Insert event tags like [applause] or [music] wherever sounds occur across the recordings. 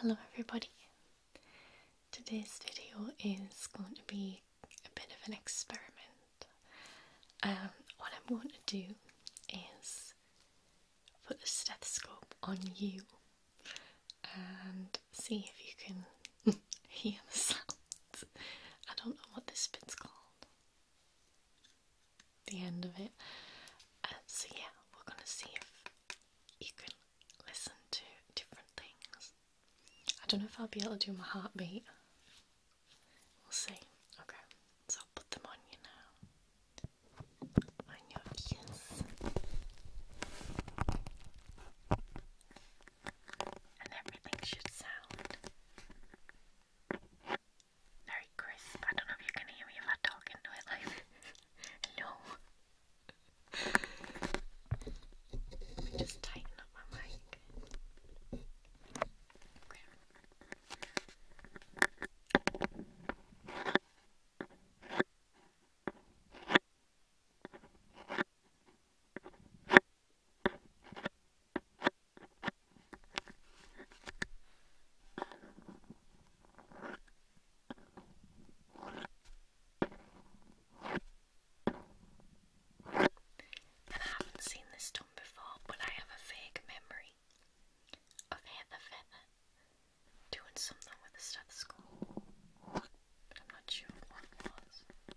Hello everybody. Today's video is going to be a bit of an experiment. Um, what I'm going to do is put a stethoscope on you and see if you can [laughs] hear the sounds. I don't know what this bit's called the end of it. Uh, so yeah, we're gonna see if you can listen to different things. I don't know if I'll be able to do my heartbeat. We'll see. Okay, so I'll put them on you now. On your ears. And everything should sound very crisp. I don't know if you can hear me if I talk into it like [laughs] Let me just tighten up my mic. I haven't seen this done before, but I have a vague memory of Heather doing something with a stethoscope, but I'm not sure what it was.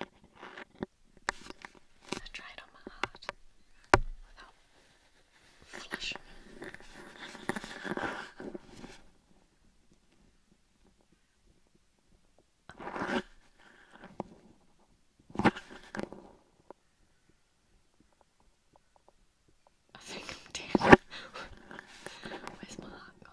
I try it on my heart without flushing. Oh. I think I'm dead. [laughs] Where's my heart gone?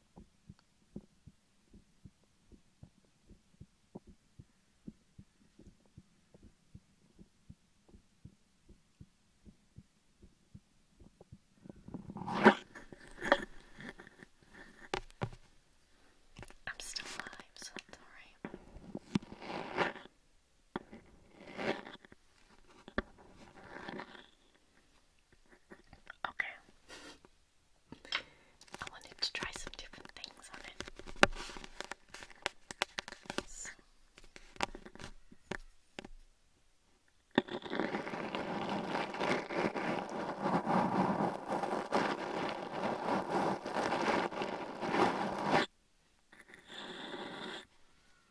I'm still alive, so that's alright. Okay. I wanted to try some different things on it.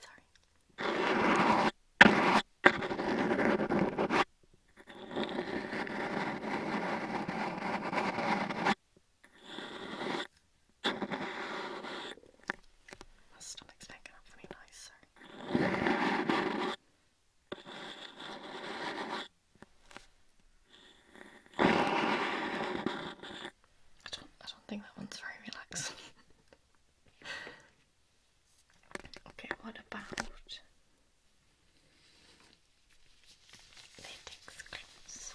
Sorry. My stomach's making up for me nice, sorry. I don't I don't think that one's very relaxing. [laughs] okay, what about latex clips?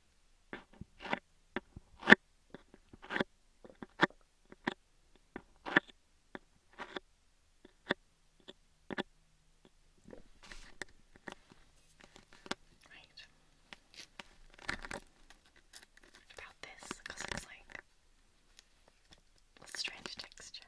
Right. What about this? Because it's like a strange texture.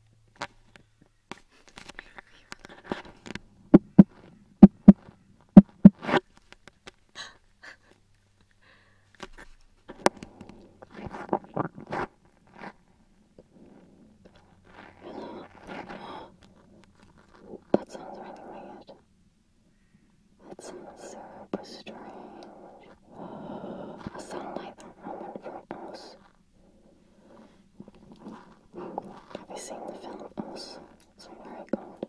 That sounds really weird. That sounds super strange a sound moment from Oz. Have you seen the film Oz? It's very good.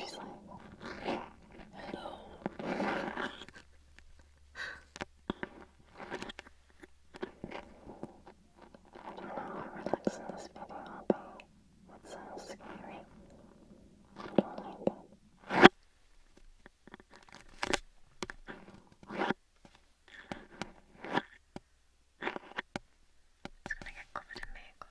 She's like, hello relax in this video about what sounds scary. I don't like that. It's gonna get covered in makeup.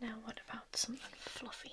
Now, what about something fluffy?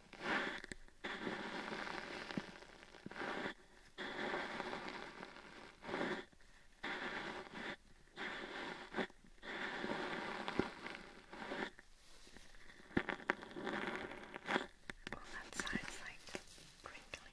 Oh, that sounds like crinkly.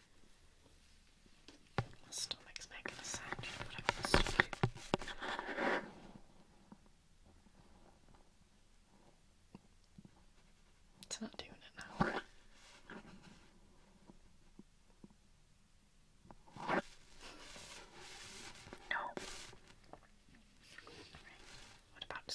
stomach's making a sound, It's not doing it now. No. What about the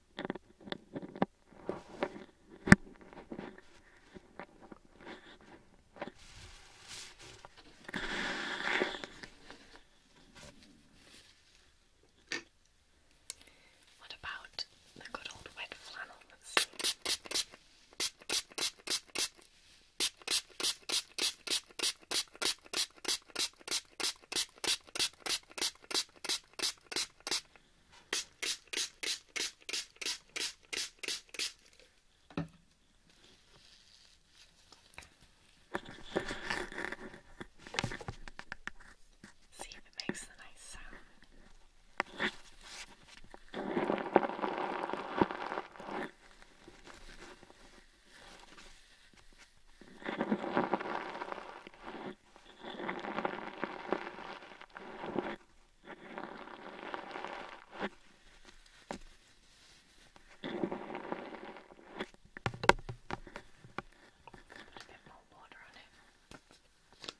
What about the good old wet flannels? See if it makes a nice sound. A bit more water on it.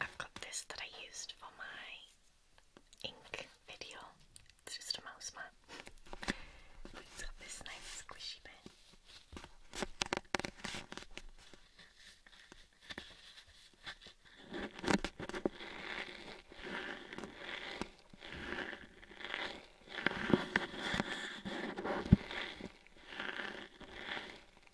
I've got this that I used for my ink video. It's just a mouse mat. It's got this nice squishy bit.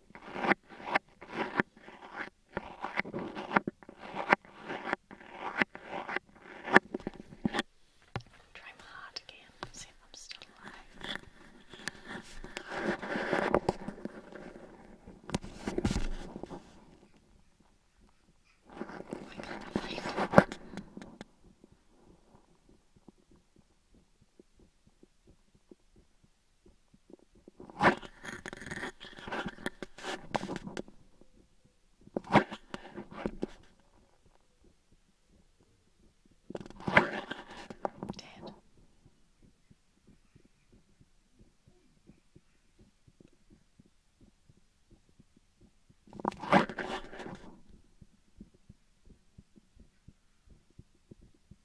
Try my heart again, see if I'm still alive. I can't believe it. Dead.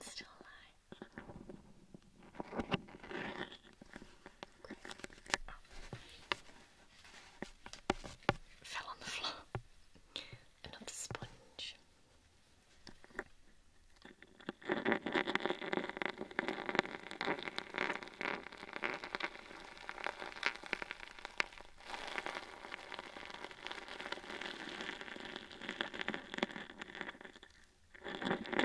Still alive. Oh. Fell on the floor. Another sponge. Sounds good. Good.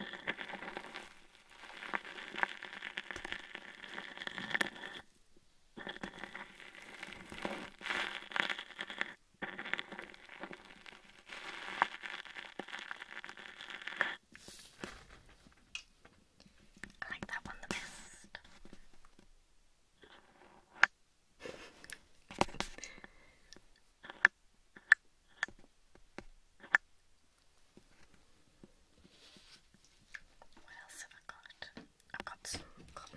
I like that one the best. What else have I got? I've got some cotton.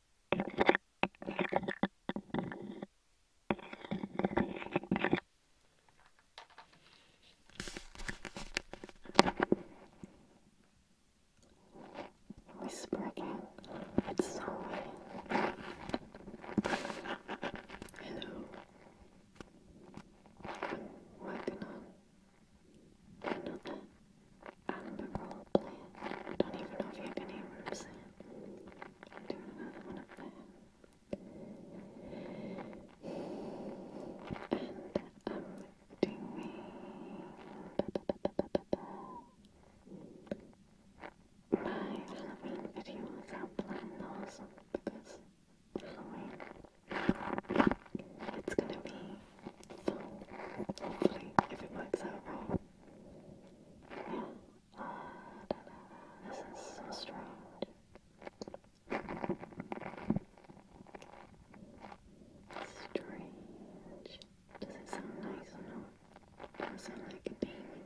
Whisper again. It's so funny. Hello. I'm working on Another admirable plant. I don't even know if you can even notice it. I'll do another one up there. And I'm um, My Halloween videos, I'll plan because Halloween, it's gonna be hopefully, if it works out right. Yeah. Uh, This is so strange. Strange. Does it sound nice or Does it sound like a demon?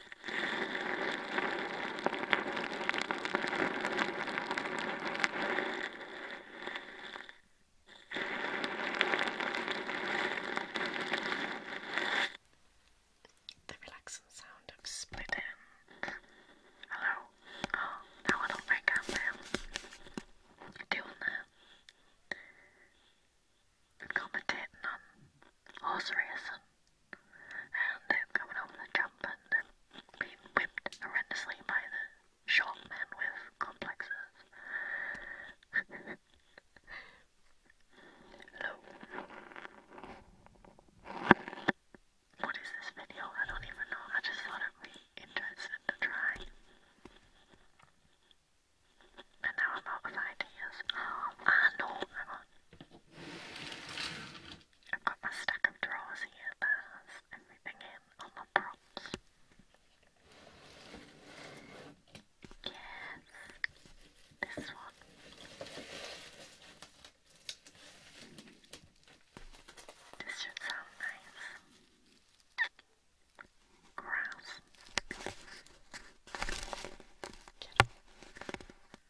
The relaxing sound of splitting. Hello. Oh, no, I don't think I'm um, doing that commentating on um, horse racing and them coming over the jump and them being whipped horrendously by the short men with complexes. Hello. What is this video? I don't even know. I just thought i would be interested in trying, And now I'm out of ideas. I [gasps] know. Ah, I've got my stack of drawers here that has everything in all my props. Yes, this one. This should sound nice. Grouse.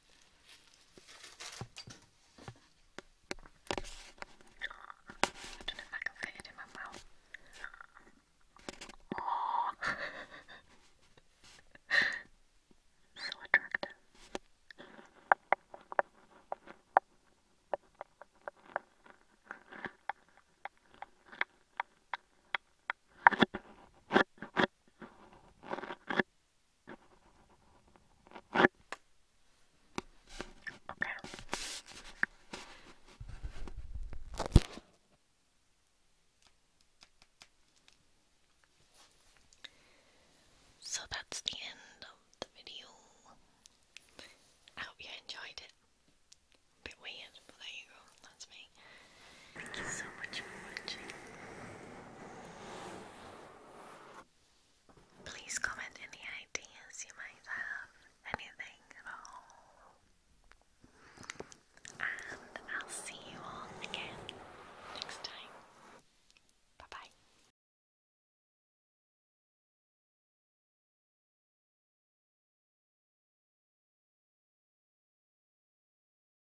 I don't know if I can fit it in my mouth. Oh. so attractive. Okay. So that's the end of the video. I hope you enjoyed it. A bit weird, but there you go. That's me. Thank you so much for watching. Please comment any ideas you might have, anything at all. And I'll see you all again next time. Bye bye.